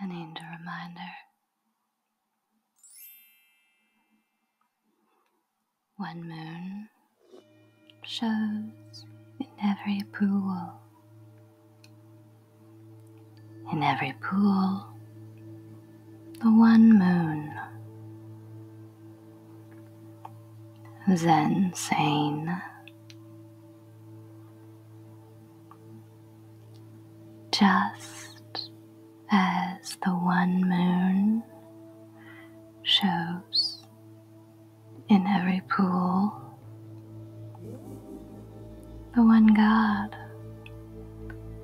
An need a reminder. One moon shows in every pool. In every pool, the one moon. Zen sane. Just as the one moon shows in every pool. The one God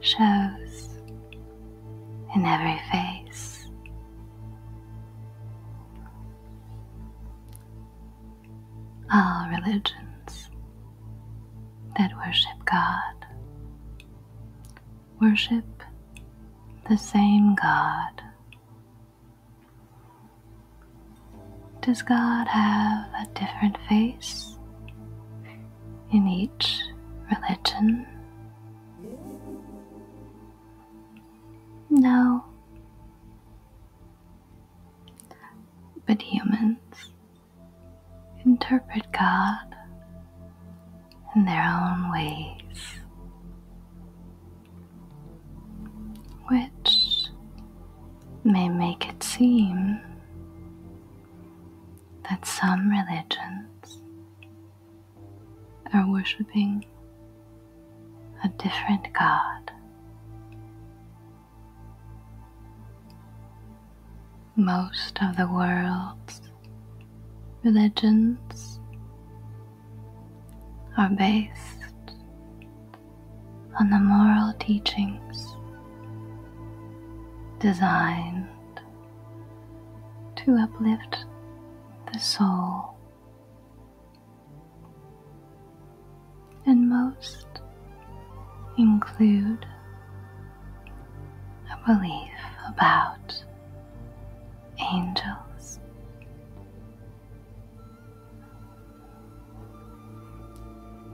shows in every face. All religions that worship God worship the same God. Does God have a different face in each religion? No. But humans interpret God in their own ways, which may make it seem that some religions are worshipping a different God. Most of the world's religions are based on the moral teachings designed to uplift the soul. And most include a belief about angels.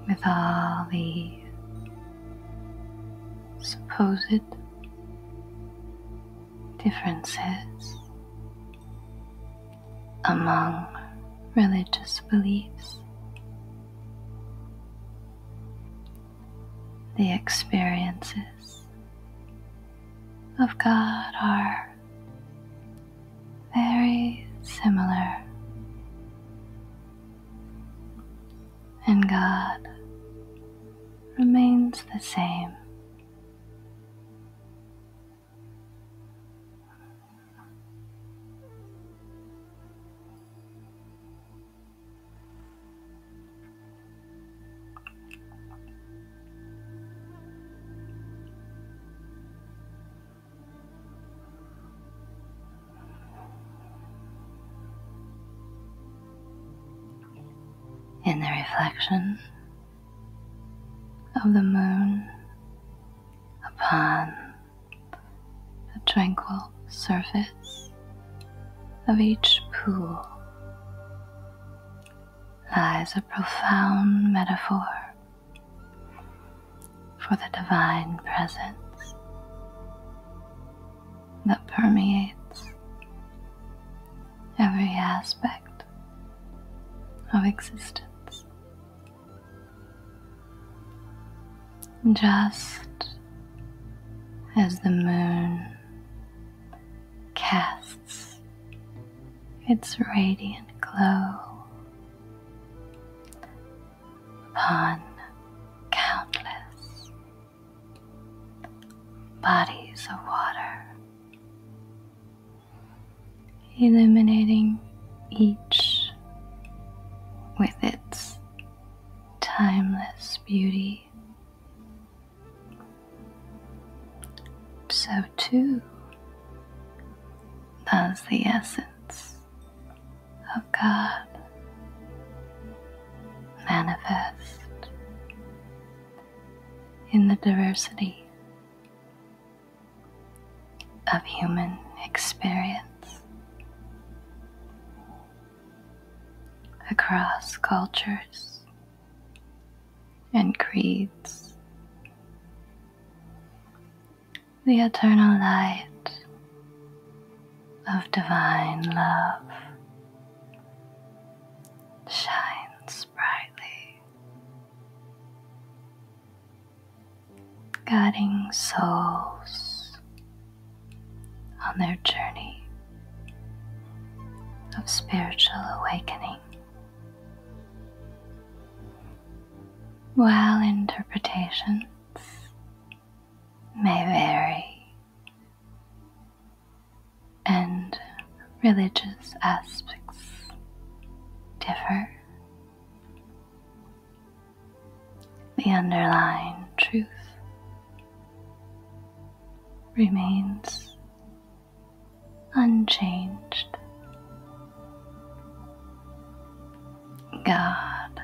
With all these supposed differences among religious beliefs. The experiences of God are very similar. And God remains the same in the reflection of the moon upon the tranquil surface of each pool lies a profound metaphor for the divine presence that permeates every aspect of existence. Just as the moon casts its radiant glow upon countless bodies of water, illuminating each with its timeless beauty. So, too, does the essence of God manifest in the diversity of human experience across cultures and creeds. The eternal light of divine love shines brightly, guiding souls on their journey of spiritual awakening. While interpretations may vary and religious aspects differ, the underlying truth remains unchanged. God,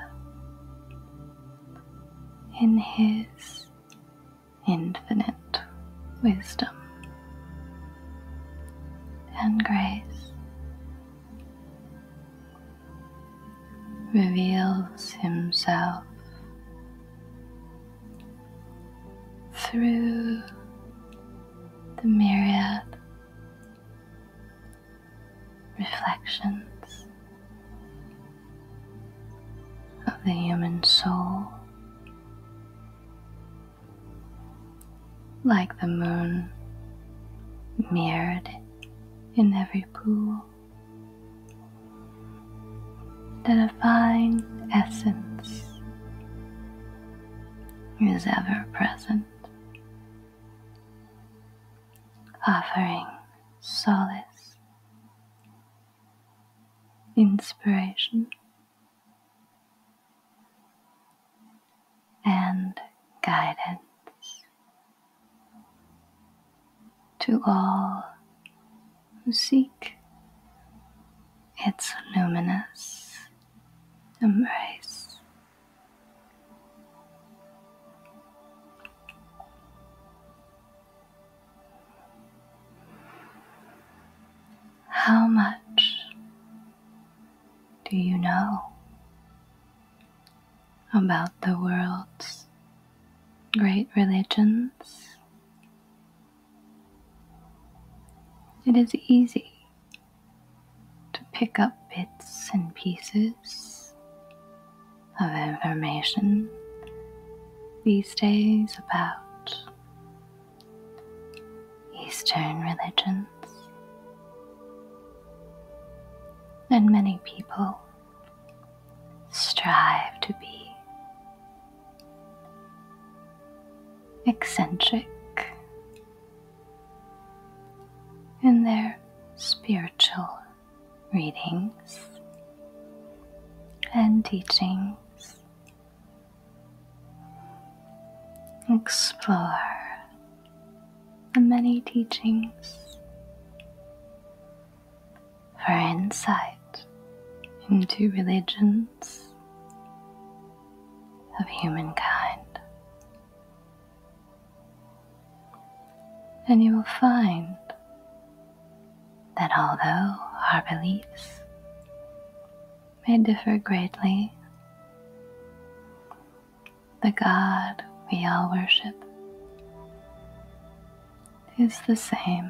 in His infinite wisdom and grace, reveals Himself through the myriad reflections of the human soul, like the moon mirrored in every pool the divine essence is ever present, offering solace, inspiration, and guidance to all who seek its luminous embrace. How much do you know about the world's great religions it is easy to pick up bits and pieces of information these days about Eastern religions. And many people strive to be eccentric in their spiritual readings and teachings. Explore the many teachings for insight into religions of humankind. And you will find that although our beliefs may differ greatly, the God we all worship is the same.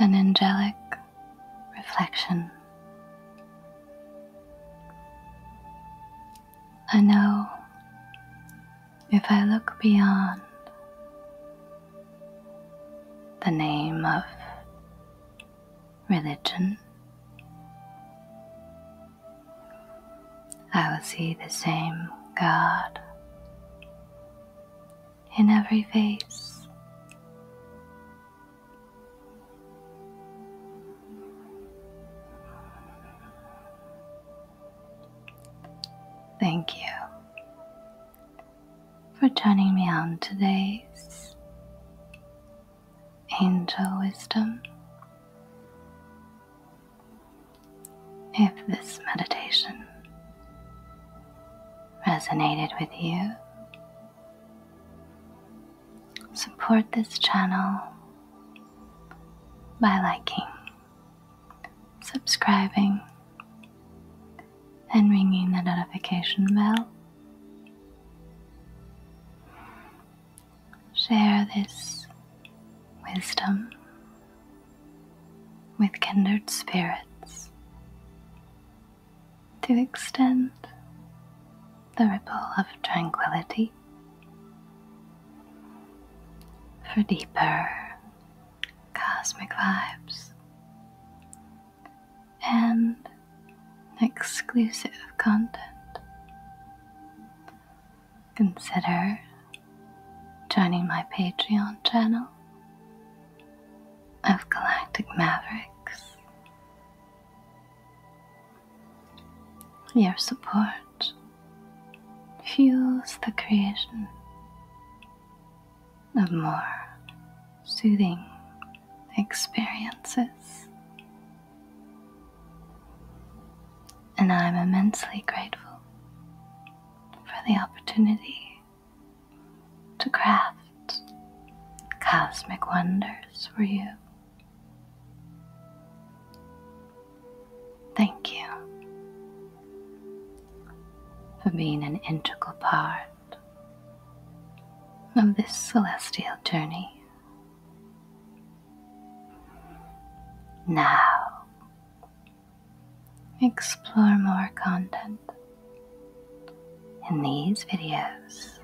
An angelic reflection. I know if I look beyond the name of religion. I will see the same God in every face. Thank you for turning me on today's angel wisdom. If this meditation resonated with you, support this channel by liking, subscribing, and ringing the notification bell Share this wisdom with kindred spirits to extend the ripple of tranquility for deeper cosmic vibes and exclusive content. Consider joining my Patreon channel of Galactic Mavericks. Your support fuels the creation of more soothing experiences and I'm immensely grateful for the opportunity to craft cosmic wonders for you. Thank you for being an integral part of this celestial journey. Now, explore more content in these videos.